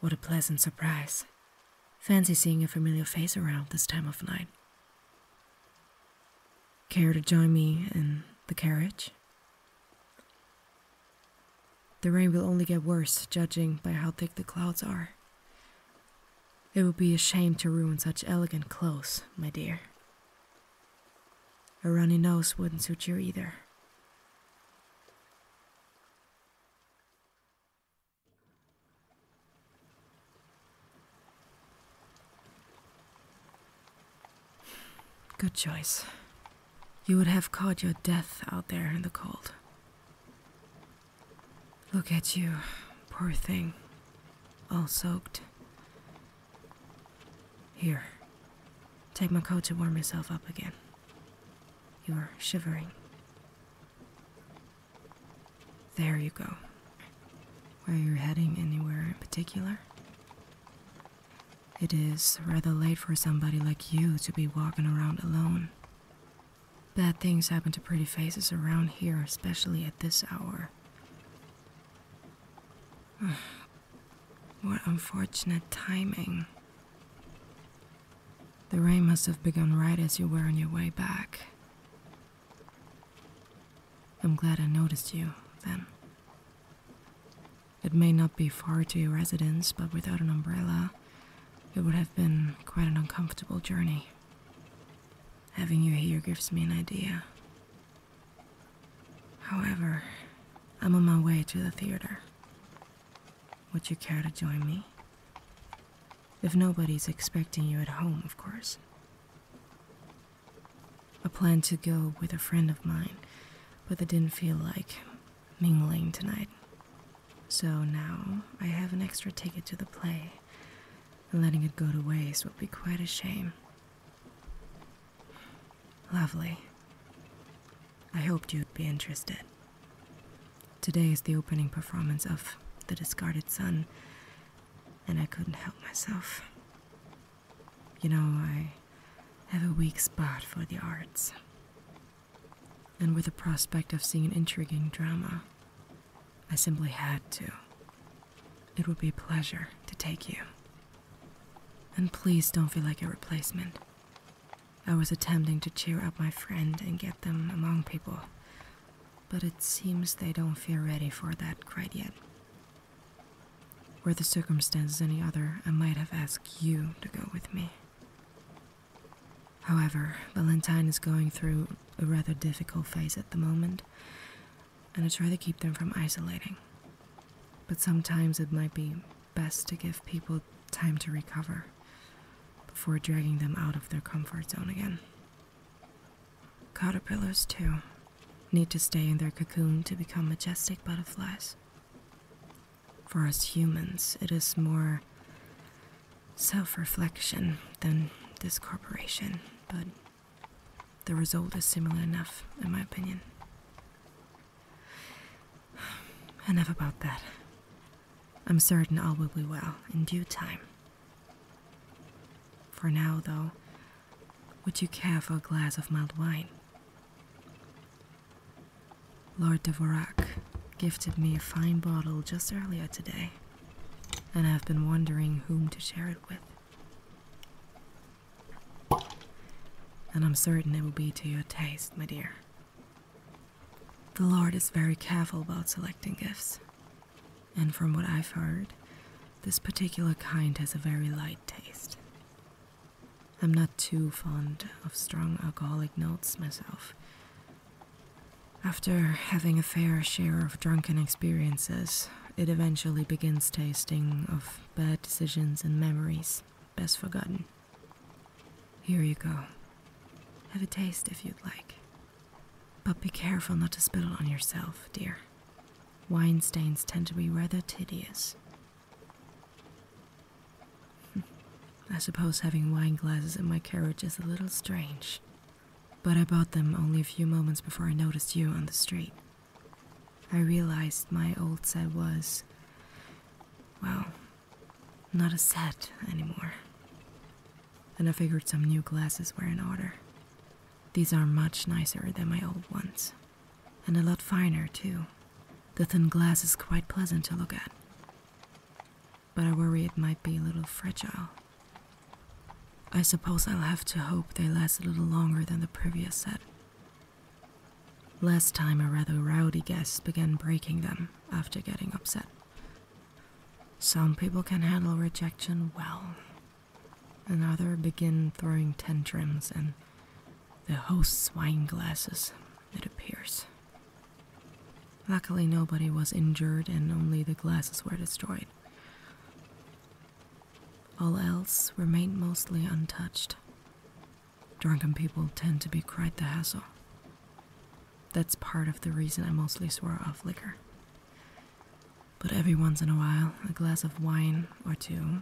What a pleasant surprise. Fancy seeing a familiar face around this time of night. Care to join me in the carriage? The rain will only get worse, judging by how thick the clouds are. It would be a shame to ruin such elegant clothes, my dear. A runny nose wouldn't suit you either. Good choice. You would have caught your death out there in the cold. Look at you, poor thing. All soaked. Here. Take my coat to warm yourself up again. You are shivering. There you go. Where you're heading anywhere in particular? It is rather late for somebody like you to be walking around alone. Bad things happen to pretty faces around here, especially at this hour. what unfortunate timing. The rain must have begun right as you were on your way back. I'm glad I noticed you then. It may not be far to your residence, but without an umbrella, it would have been quite an uncomfortable journey. Having you here gives me an idea. However, I'm on my way to the theater. Would you care to join me? If nobody's expecting you at home, of course. I planned to go with a friend of mine, but I didn't feel like mingling tonight. So now I have an extra ticket to the play, letting it go to waste would be quite a shame. Lovely. I hoped you'd be interested. Today is the opening performance of The Discarded Son, and I couldn't help myself. You know, I have a weak spot for the arts. And with the prospect of seeing an intriguing drama, I simply had to. It would be a pleasure to take you. And please don't feel like a replacement. I was attempting to cheer up my friend and get them among people but it seems they don't feel ready for that quite yet. Were the circumstances any other, I might have asked you to go with me. However, Valentine is going through a rather difficult phase at the moment, and I try to keep them from isolating. But sometimes it might be best to give people time to recover before dragging them out of their comfort zone again. Caterpillars, too, need to stay in their cocoon to become majestic butterflies. For us humans, it is more self reflection than this corporation, but the result is similar enough, in my opinion. Enough about that. I'm certain all will be well in due time. For now, though, would you care for a glass of mild wine? Lord de Vorac gifted me a fine bottle just earlier today, and I've been wondering whom to share it with. And I'm certain it will be to your taste, my dear. The Lord is very careful about selecting gifts. And from what I've heard, this particular kind has a very light taste. I'm not too fond of strong alcoholic notes myself. After having a fair share of drunken experiences, it eventually begins tasting of bad decisions and memories best forgotten. Here you go. Have a taste if you'd like. But be careful not to spittle on yourself, dear. Wine stains tend to be rather tedious. I suppose having wine glasses in my carriage is a little strange, but I bought them only a few moments before I noticed you on the street. I realized my old set was, well, not a set anymore. Then I figured some new glasses were in order. These are much nicer than my old ones, and a lot finer too. The thin glass is quite pleasant to look at, but I worry it might be a little fragile. I suppose I'll have to hope they last a little longer than the previous set. Last time a rather rowdy guest began breaking them, after getting upset. Some people can handle rejection well, and others begin throwing tantrums and the host's wine glasses, it appears. Luckily, nobody was injured and only the glasses were destroyed. All else remained mostly untouched. Drunken people tend to be quite the hassle. That's part of the reason I mostly swore off liquor. But every once in a while, a glass of wine or two,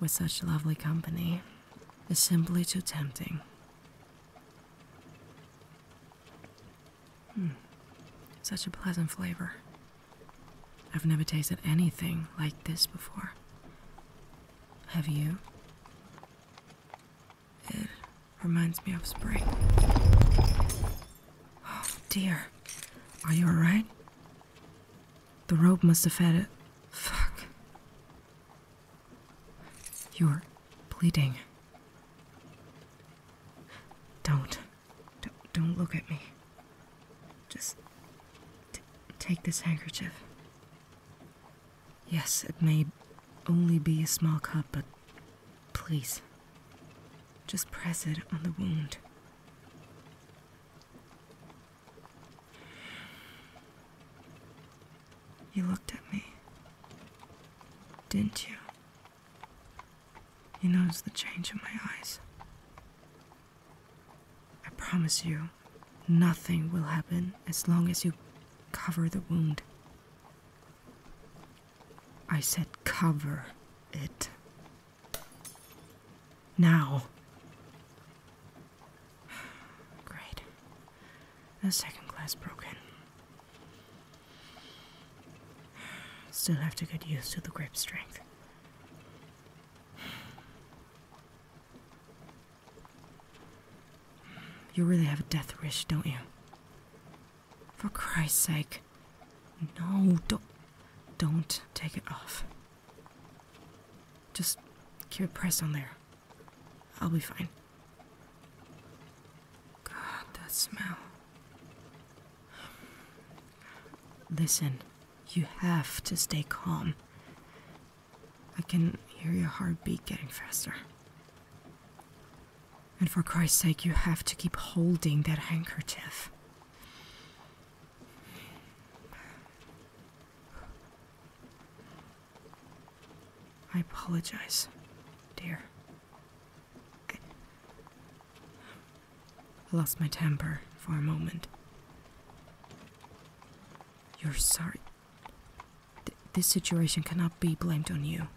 with such lovely company, is simply too tempting. Hmm. Such a pleasant flavor. I've never tasted anything like this before. Have you? It reminds me of spring. Oh dear. Are you alright? The rope must have had it. Fuck. You're bleeding. Don't. Don't, don't look at me. Just take this handkerchief. Yes, it may only be a small cut, but please, just press it on the wound. You looked at me, didn't you? You noticed the change in my eyes. I promise you, Nothing will happen as long as you cover the wound. I said cover it. Now. Great. The second glass broken. Still have to get used to the grip strength. You really have a death wish, don't you? For Christ's sake. No, don't don't take it off. Just keep it pressed on there. I'll be fine. God, that smell. Listen, you have to stay calm. I can hear your heartbeat getting faster. And for Christ's sake, you have to keep holding that handkerchief. I apologize, dear. I lost my temper for a moment. You're sorry. this situation cannot be blamed on you.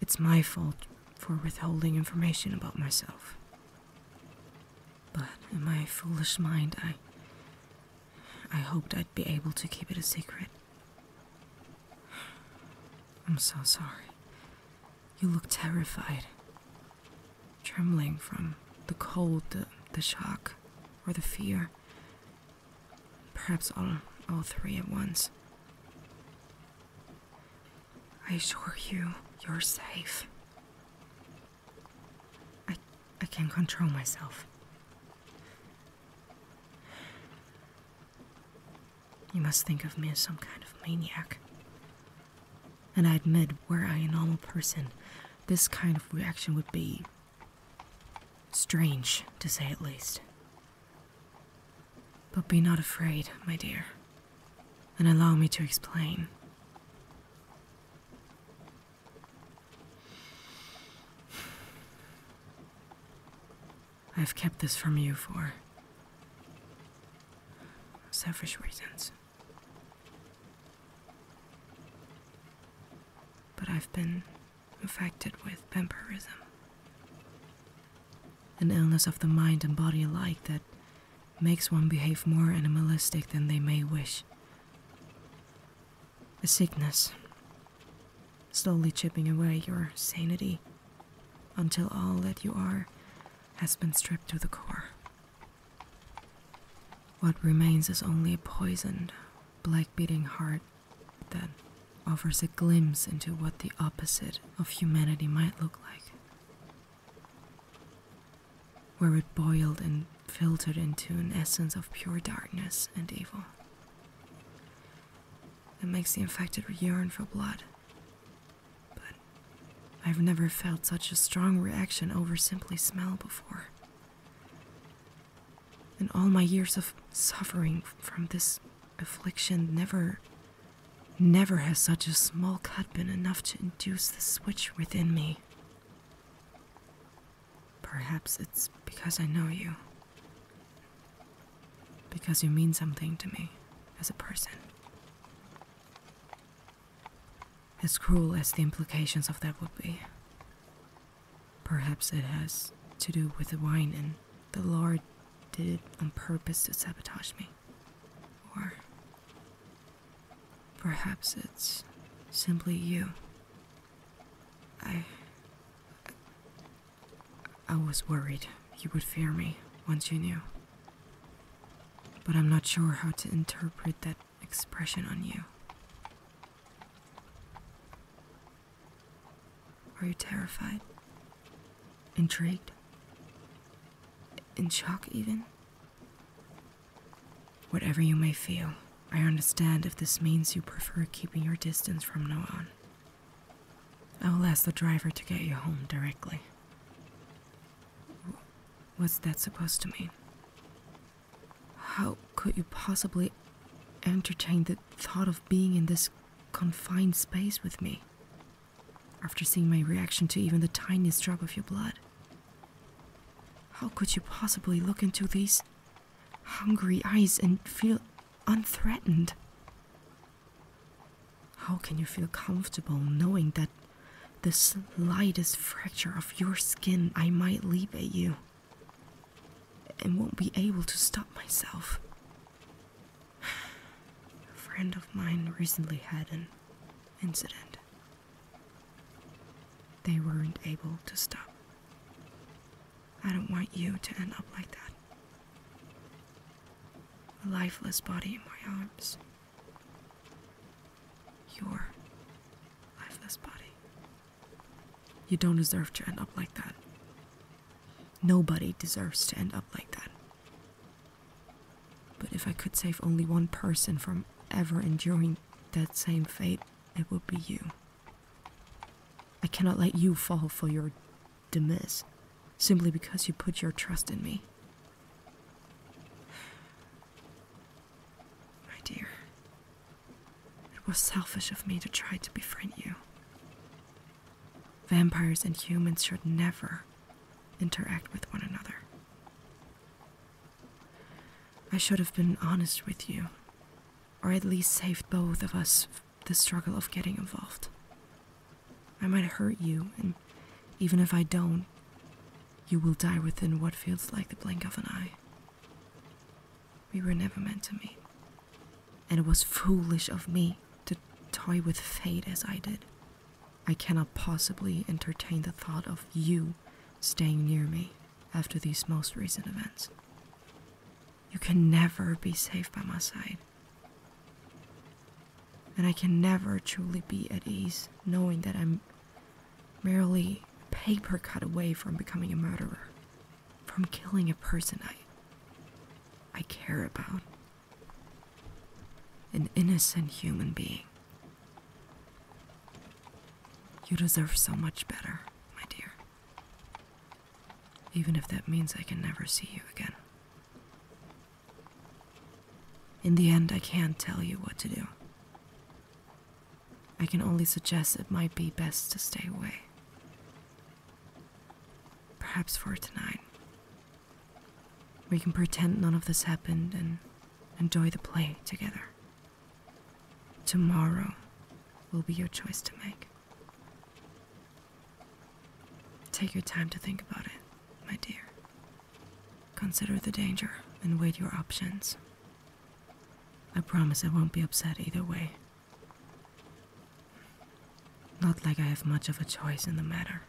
It's my fault for withholding information about myself. But in my foolish mind, I. I hoped I'd be able to keep it a secret. I'm so sorry. You look terrified trembling from the cold, the, shock, or the fear. Perhaps all, all three at once. I assure you, you're safe. I, I can't control myself. You must think of me as some kind of maniac. And I admit, were I a normal person, this kind of reaction would be strange, to say at least. But be not afraid, my dear, and allow me to explain. I've kept this from you for selfish reasons. But I've been infected with vampirism, an illness of the mind and body alike that makes one behave more animalistic than they may wish. A sickness, slowly chipping away your sanity until all that you are has been stripped to the core. What remains is only a poisoned, black beating heart that offers a glimpse into what the opposite of humanity might look like. Where it boiled and filtered into an essence of pure darkness and evil. That makes the infected yearn for blood but I've never felt such a strong reaction over simply smell before. In all my years of suffering from this affliction, never, never has such a small cut been enough to induce the switch within me. Perhaps it's because I know you. Because you mean something to me as a person. As cruel as the implications of that would be. Perhaps it has to do with the wine, and the Lord did it on purpose to sabotage me. Or perhaps it's simply you. I. I was worried you would fear me once you knew. But I'm not sure how to interpret that expression on you. Are you terrified? Intrigued? In shock, even? Whatever you may feel, I understand if this means you prefer keeping your distance from now on. I will ask the driver to get you home directly. What's that supposed to mean? How could you possibly entertain the thought of being in this confined space with me after seeing my reaction to even the tiniest drop of your blood? How could you possibly look into these hungry eyes and feel unthreatened? How can you feel comfortable knowing that the slightest fracture of your skin I might leap at you and won't be able to stop myself? A friend of mine recently had an incident. They weren't able to stop. I don't want you to end up like that a lifeless body in my arms. Your lifeless body. You don't deserve to end up like that. Nobody deserves to end up like that. But if I could save only one person from ever enduring that same fate, it would be you. I cannot let you fall for your Demis, simply because you put your trust in me. My dear, it was selfish of me to try to befriend you. Vampires and humans should never interact with one another. I should have been honest with you, or at least saved both of us the struggle of getting involved. I might hurt you, and even if I don't, you will die within what feels like the blink of an eye. We were never meant to meet, and it was foolish of me to toy with fate as I did. I cannot possibly entertain the thought of you staying near me after these most recent events. You can never be safe by my side. And I can never truly be at ease knowing that I'm merely paper cut away from becoming a murderer, from killing a person I I care about. An innocent human being. You deserve so much better, my dear even if that means I can never see you again. In the end, I can't tell you what to do. I can only suggest it might be best to stay away. Perhaps for tonight. We can pretend none of this happened and enjoy the play together. Tomorrow will be your choice to make. Take your time to think about it, my dear. Consider the danger and weigh your options. I promise I won't be upset either way. Not like I have much of a choice in the matter.